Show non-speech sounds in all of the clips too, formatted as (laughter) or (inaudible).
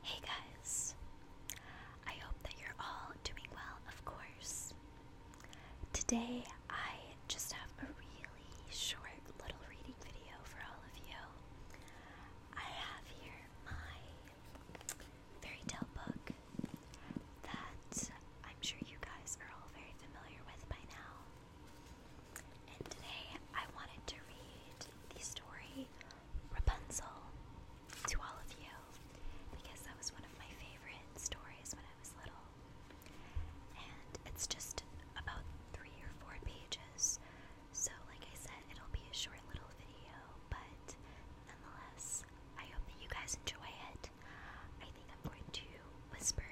Hey guys! I hope that you're all doing well, of course. Today I just have a really short little reading video for all of you. I have here my fairy tale book that I'm sure you guys are all very familiar with by now. And today I wanted to read the story Rapunzel to all of you because that was one of my favorite stories when I was little. And it's just about three or four pages, so like I said, it'll be a short little video, but nonetheless, I hope that you guys enjoy it. I think I'm going to whisper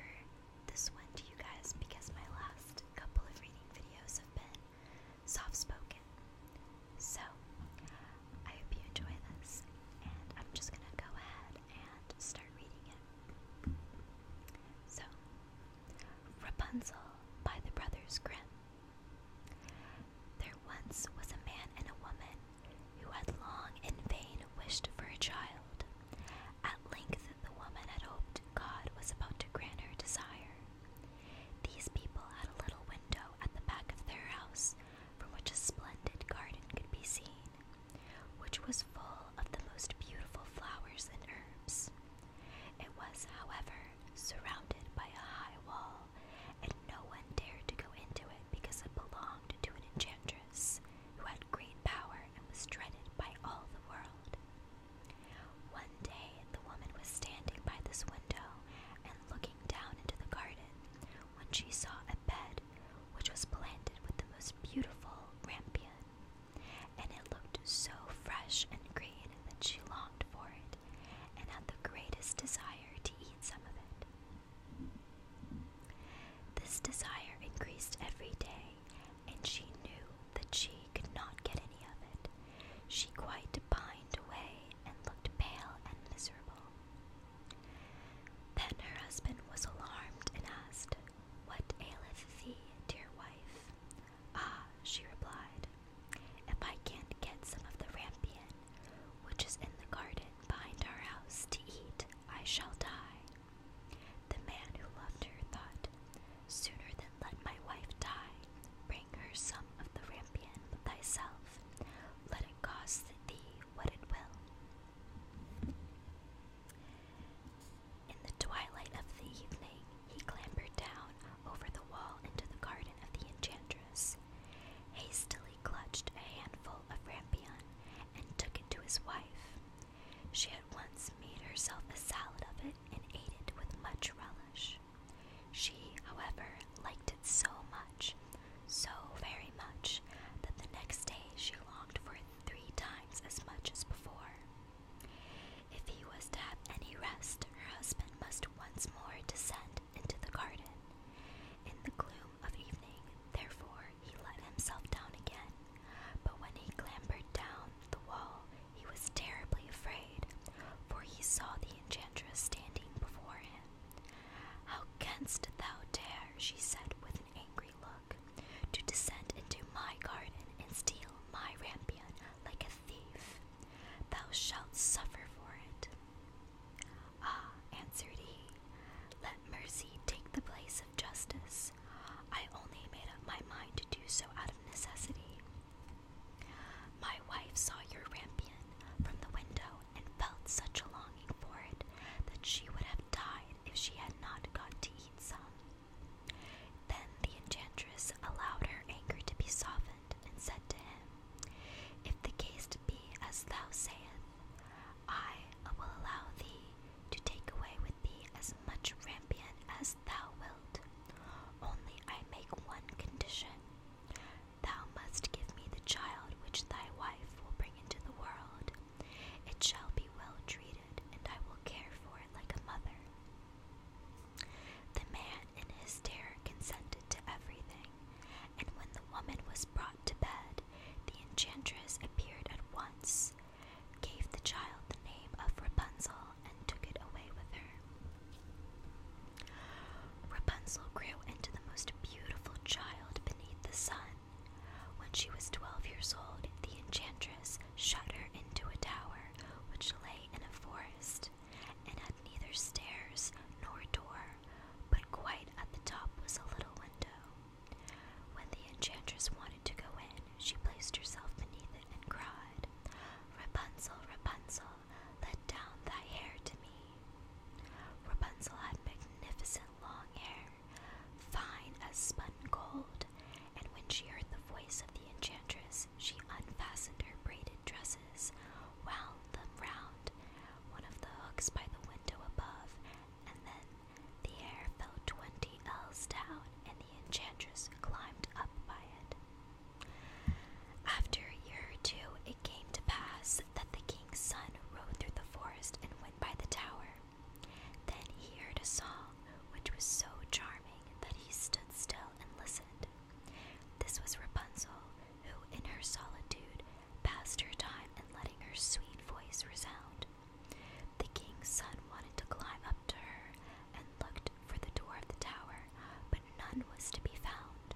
this one to you guys because my last couple of reading videos have been soft spoken. So, I hope you enjoy this, and I'm just gonna go ahead and start reading it. So, Rapunzel by the Brothers Grimm. There once was a man and a woman who had long in vain wished for a child. At length, the woman had hoped God was about to grant her desire. These people had a little window at the back of their house from which a splendid garden could be seen, which was full of the most beautiful flowers and herbs. It was, however, surrounded by a high wall, and no one dared to go into it because it belonged to an enchantress who had great power and was dreaded by all the world. One day the woman was standing by this window and looking down into the garden when she saw a bed which was planted with the most beautiful rampion, and it looked so fresh and green that she longed for it and had the greatest desire to eat some of it. This desire increased every day, and she knew that she could not get any of it, she quite pined away and looked pale and miserable. Then her husband was alarmed and asked, What aileth thee, dear wife? Ah, she replied, If I can't get some of the rampion, which is in the garden behind our house, to eat, I shall die. The man who loved her thought, Sooner than let my wife die, bring her some of the rampion but thyself, let it cost thee what it will. In the twilight of the evening, he clambered down over the wall into the garden of the enchantress, hastily clutched a handful of rampion, and took it to his wife. She at once made herself a salad of it and ate it with much relish. She, however, liked it so much, so very much, that the next day she longed for it three times as much as before. If he was to have any rest, her husband must once more descend into the garden. In the gloom of evening, therefore, he let himself down again, but when he clambered down the wall, he was terribly afraid, for he saw the enchantress standing before him. How canst thou dare, she said with an angry look, to descend into my garden and steal my rampion like a thief? Thou shalt suffer for it. Ah, answered he, let mercy take the place of justice. I only made up my mind to do so out of necessity. My wife saw your rampion from the window and felt such a longing for it that she would have died if she had not got to eat some. Then the enchantress allowed her anger to be softened and said to him, If the case be as thou sayest, I will allow thee to take away with thee as much rampion as thou wilt. Only I make one condition Thou must give me the child which thy wife will bring into the world. It shall be well treated, and I will care for it like a mother. The man in his terror consented to everything, and when the woman was brought to bed, the enchantress appeared at once, gave the child the name of Rapunzel, and took it away with her. Rapunzel grew into the most beautiful child beneath the sun. When she was twelve years old, the enchantress shut her into a tower which lay in a forest and had neither stairs nor door, but quite at the top was a little window. When the enchantress wanted to go in, she placed herself beneath it and cried, Rapunzel, Rapunzel, let down thy hair to me. Rapunzel had magnificent long hair, fine as spun gold, and when she heard the voice of the enchantress, she unfastened her braided dresses, wound them round one of the hooks by the window above, and then the hair fell twenty ells down, and the enchantress climbed up by it. After a year or two, it came to pass that the king's son rode through the forest and went by the tower. Then he heard a song which was so charming that he stood still and listened. This was Rapunzel, who in her solitude passed her time in letting her sweet voice resound. The king's son wanted to climb up to her and looked for the door of the tower, but none was to be found.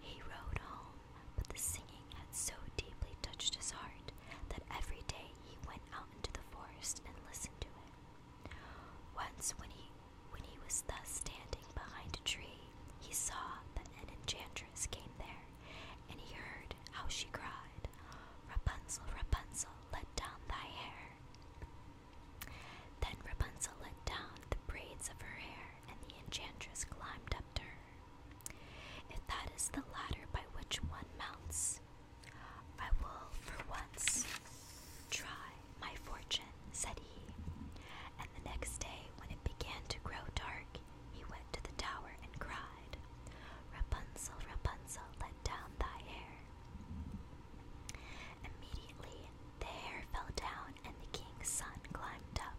He rode home, but the singing had so deeply touched his heart that every day he went out into the forest and listened to it. Once, when he when he was thus standing behind a tree, he saw that an enchantress came there, and he heard how she cried, Rapunzel, Rapunzel, let down thy hair. Then Rapunzel let down the braids of her hair, and the enchantress climbed up to her. If that is the ladder by which one mounts, I will for once try my fortune, said he. And the next day, when it began to grow dark, he went to the tower and cried, Rapunzel, Rapunzel, let down thy hair. Immediately the hair fell down and the king's son climbed up.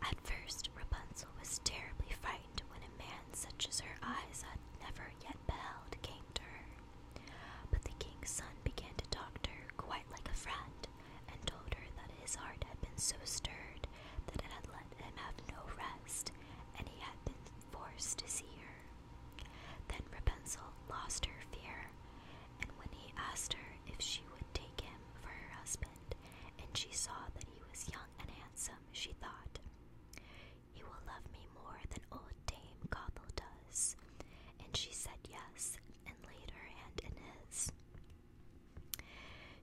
At first, Rapunzel was terribly frightened when a man such as her eyes had never yet beheld came to her. But the king's son began to talk to her quite like a friend, and told her that his heart had been so stirred that it had let him have no rest, and he had been forced to see her. Then Rapunzel lost her fear, and when he asked her if she would take him for her husband, and she saw that he was young and handsome, she thought, He will love me more than old Dame Gothel does. And she said yes, and laid her hand in his.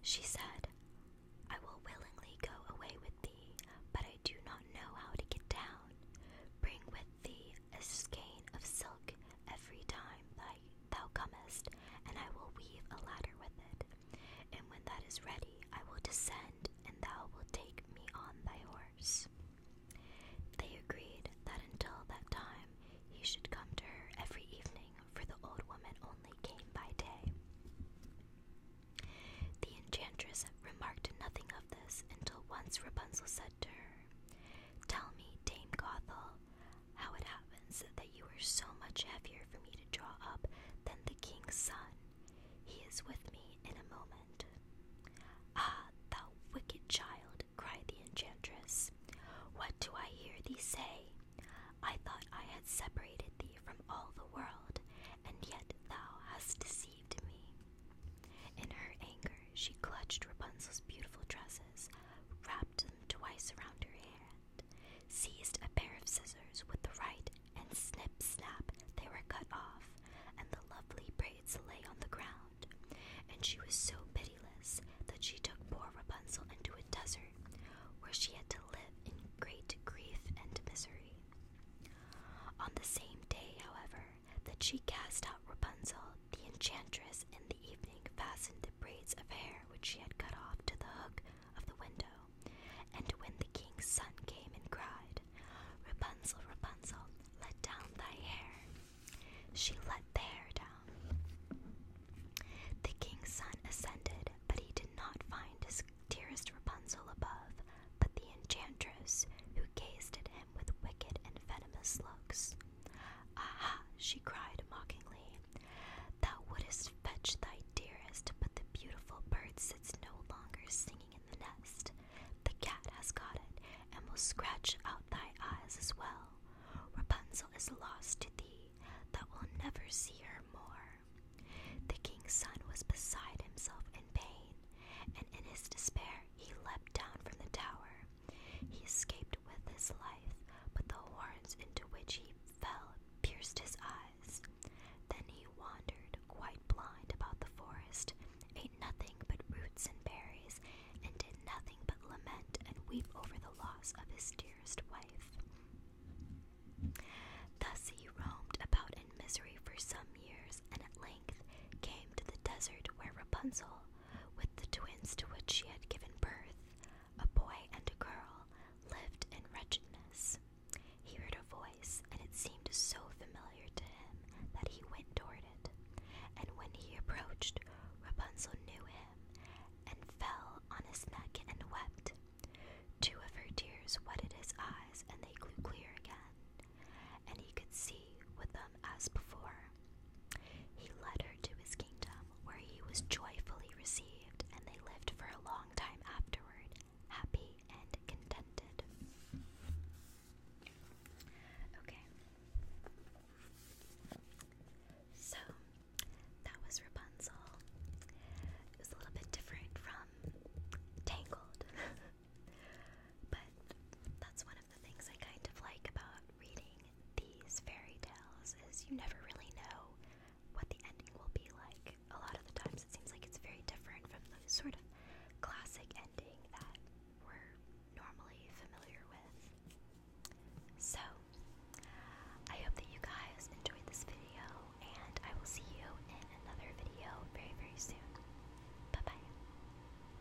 She said, I will willingly go away with thee, but I do not know how to get down, Bring with thee a skein of silk every time thy, thou comest, and I will weave a ladder with it. And when that is ready, I will descend, and thou wilt take me on thy horse. They agreed that until that time he should come to her every evening, for the old woman only came by day. The enchantress remarked nothing of this until once Rapunzel said to her, Tell me, Dame Gothel, how it happens that you are so much heavier for me to draw up than the king's son. He is with me in a moment. Ah, thou wicked child, cried the enchantress. What do I hear thee say? I thought I had separated thee from all the world, and yet thou hast deceived in her anger, she clutched Rapunzel's beautiful dresses, wrapped them twice around her hand, seized a pair of scissors with the right, and snip snap, they were cut off, and the lovely braids lay on the ground. And she was so pitiless that she took poor Rapunzel into a desert, where she had to live in great grief and misery. On the same day, however, that she cast out Rapunzel, the enchantress in the evening fastened the braids of hair which she had cut off to the hook of the window, and when the king's son came and cried, Rapunzel, Rapunzel, let down thy hair, she let the hair down. The king's son ascended, but he did not find his dearest Rapunzel above, but the enchantress who gazed at him with wicked and venomous looks. ah! she cried mockingly. Thou wouldst fetch thy dearest, but the beautiful bird sits no longer singing in the nest. The cat has got it, and will scratch out thy eyes as well. Rapunzel is lost to thee, thou wilt never see her more. The king's son was beside himself in pain, and in his despair he leaped down from the tower. He escaped with his life, but the horns into which he fell pierced his eyes. Then he wandered, quite blind, about the forest, ate nothing but roots and berries, and did nothing but lament and weep over the loss of his dearest wife. Thus he roamed about in misery for some years, and at length came to the desert where Rapunzel, with the twins to which she had given birth, a boy and a girl, lived in wretchedness. He heard a voice, and it seemed so familiar to him that he went toward it. And when he approached, Rapunzel knew him, and fell on his neck and wept. Two of her tears wetted his eyes, and they grew clear again and he could see with them as before. He led her to his kingdom, where he was joyfully received, and they lived for a long time afterward, happy and contented. Okay. So, that was Rapunzel. It a little bit different from Tangled, (laughs) but that's why the things I kind of like about reading these fairy tales is you never really know what the ending will be like. A lot of the times it seems like it's very different from the sort of classic ending that we're normally familiar with. So, I hope that you guys enjoyed this video, and I will see you in another video very, very soon. Bye bye.